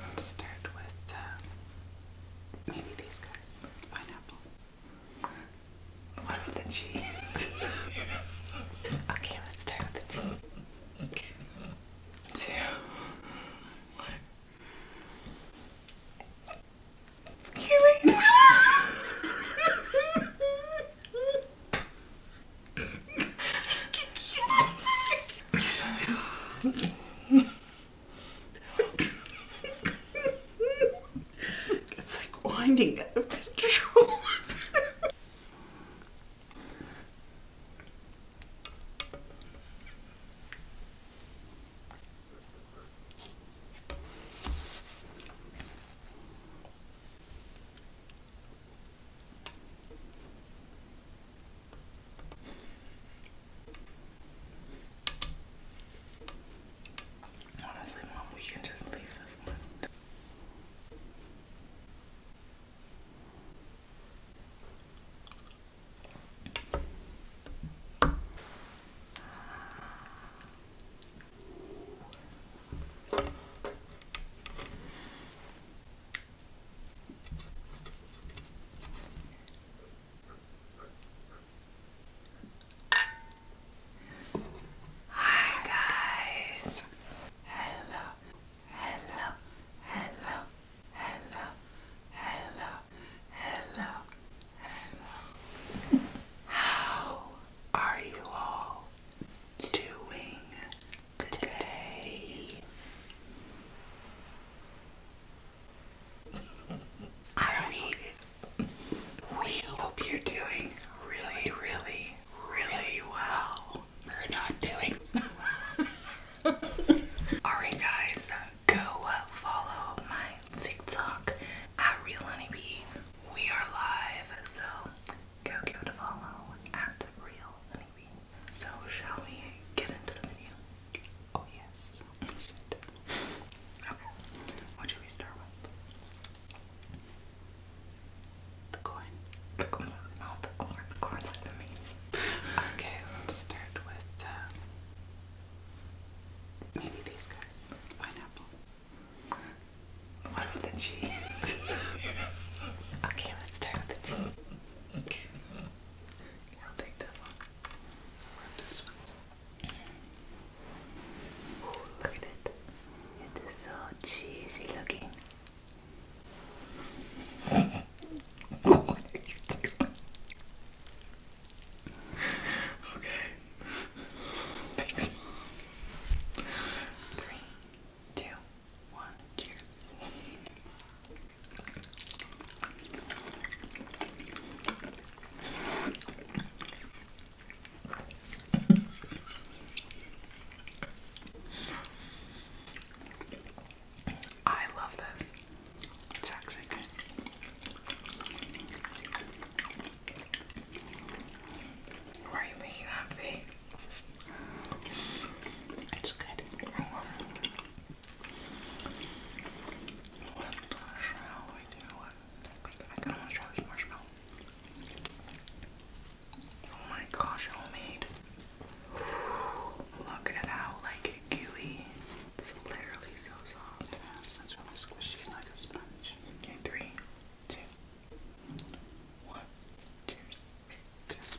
Let's start with uh, maybe these guys. Pineapple. What about the cheese? okay, let's start with the cheese. Two. One it's like winding out of control. Honestly, Mom, we can just leave this one. Hi guys. Hello. Hello. Hello. Hello. Hello. Hello. Hello. How are you all doing today? I we, hope you're doing really, really, really well. We're not doing Alright guys, go follow my TikTok at RealHoneyBee we are live, so go give at Real Honeybee. So, shall we get into the menu? Oh, yes. Okay, what should we start with? The coin. The coin. No, the corn. The corn's like the meat. Okay, let's start with uh, maybe these guys. Pineapple. What about the G? okay, let's start with the G. take this one. i this one. look at it. It is so cheesy looking. what are you doing? okay. Thanks. Three, two, one, cheers. I love this. It's actually good. Why are you making that face? It's good. What shall we do next? I kinda to try this marshmallow. Oh my gosh, homemade. Look at how like gooey it's literally so soft. It is. It's really squishy like a sponge. Okay, three, two, one. Cheers. Cheers.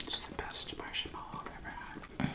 It's the best marshmallow I've ever had.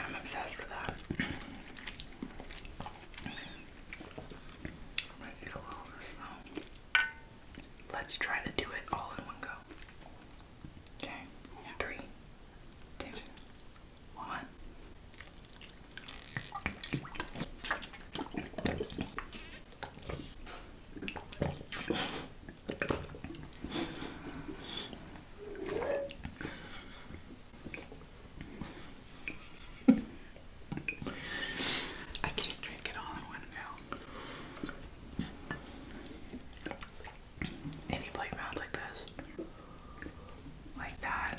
I'm obsessed with that. Let's try to do it all in one go. Okay. Yeah. I can't drink it all in one go. If you play like this, like that,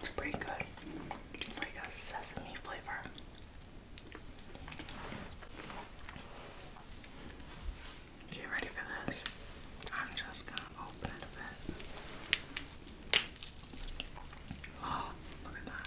It's pretty good. It's like a sesame flavor. You ready for this? I'm just gonna open it a bit. Oh, look at that.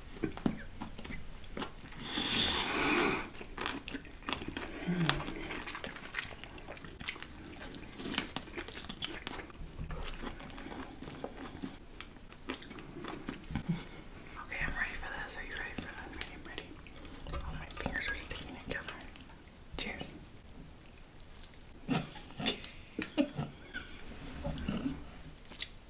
Okay, I'm ready for this. Are you ready for this? I'm ready. All my fingers are sticking together. Cheers.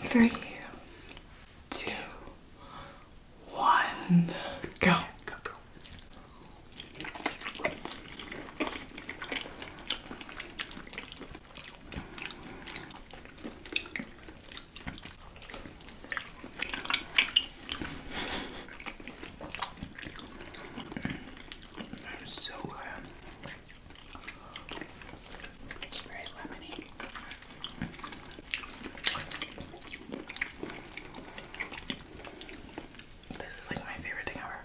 Three, two, one, go. Go, go. That is so good. It's very lemony. This is like my favorite thing ever.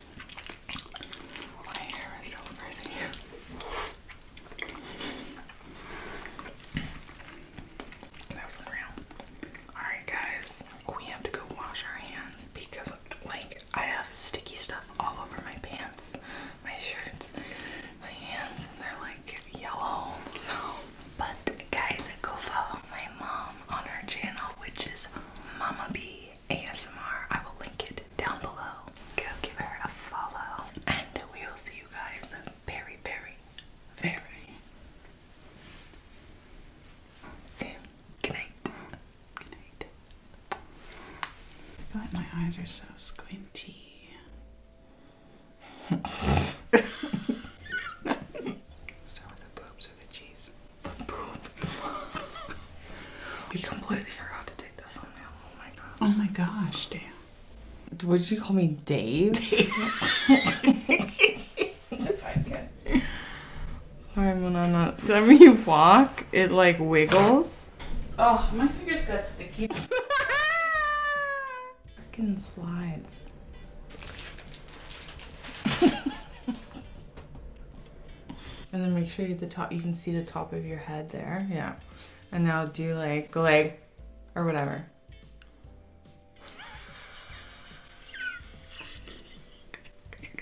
My hair is so frizzy. That was unreal. Alright, guys, we have to go wash our hands because, like, I have sticky stuff all over my pants, my shirts, my hands, and they're like yellow. So, but guys, go follow my mom on her channel, which is Mama B. ASMR. I will link it down below. Go give her a follow. And we will see you guys very, very, very soon. Good night. Good night. my eyes are so squinty. Start with the boobs or the cheese we completely forgot to take the thumbnail. Oh my god. Oh my gosh, damn. What did you call me, Dave? Sorry, Dave. Sorry, Monana. Every you walk, it like wiggles. Oh, my fingers got sticky. Freaking slides. And then make sure the top, you can see the top of your head there. Yeah. And now do like the leg or whatever.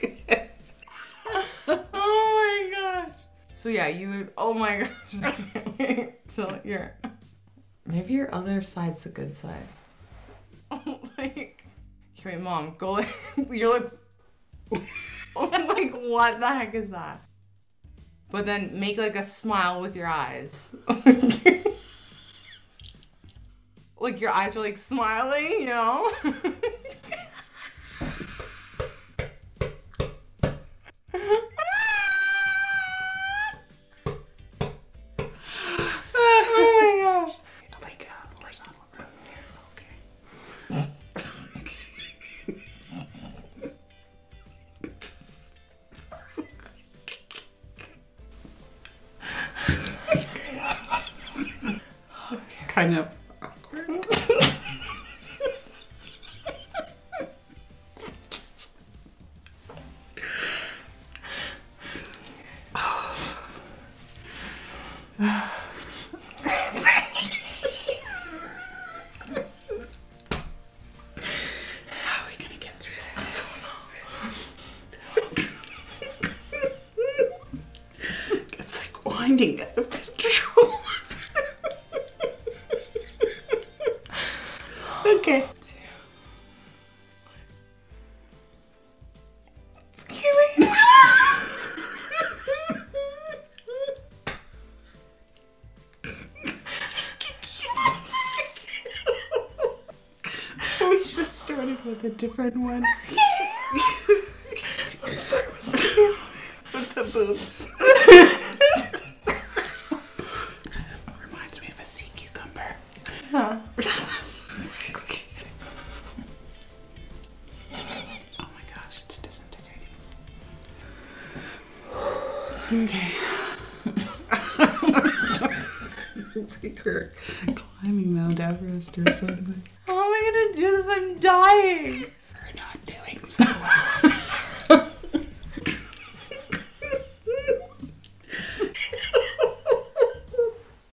oh my gosh. So yeah, you would, oh my gosh, wait till you maybe your other side's the good side. Oh, like, okay, mom, go like, you're like like, what the heck is that? But then make like a smile with your eyes. like your eyes are like smiling, you know? oh my gosh. Uh, Okay. okay. It's kind of awkward. How are we gonna get through this? it's like winding out of control. okay we should started with a different one. with the, with the boobs. Reminds me of a sea cucumber. Huh. Oh my gosh, it's disintegrating. Okay. climbing Mount Everest or something. How am I gonna do this? I'm dying. We're not doing so well.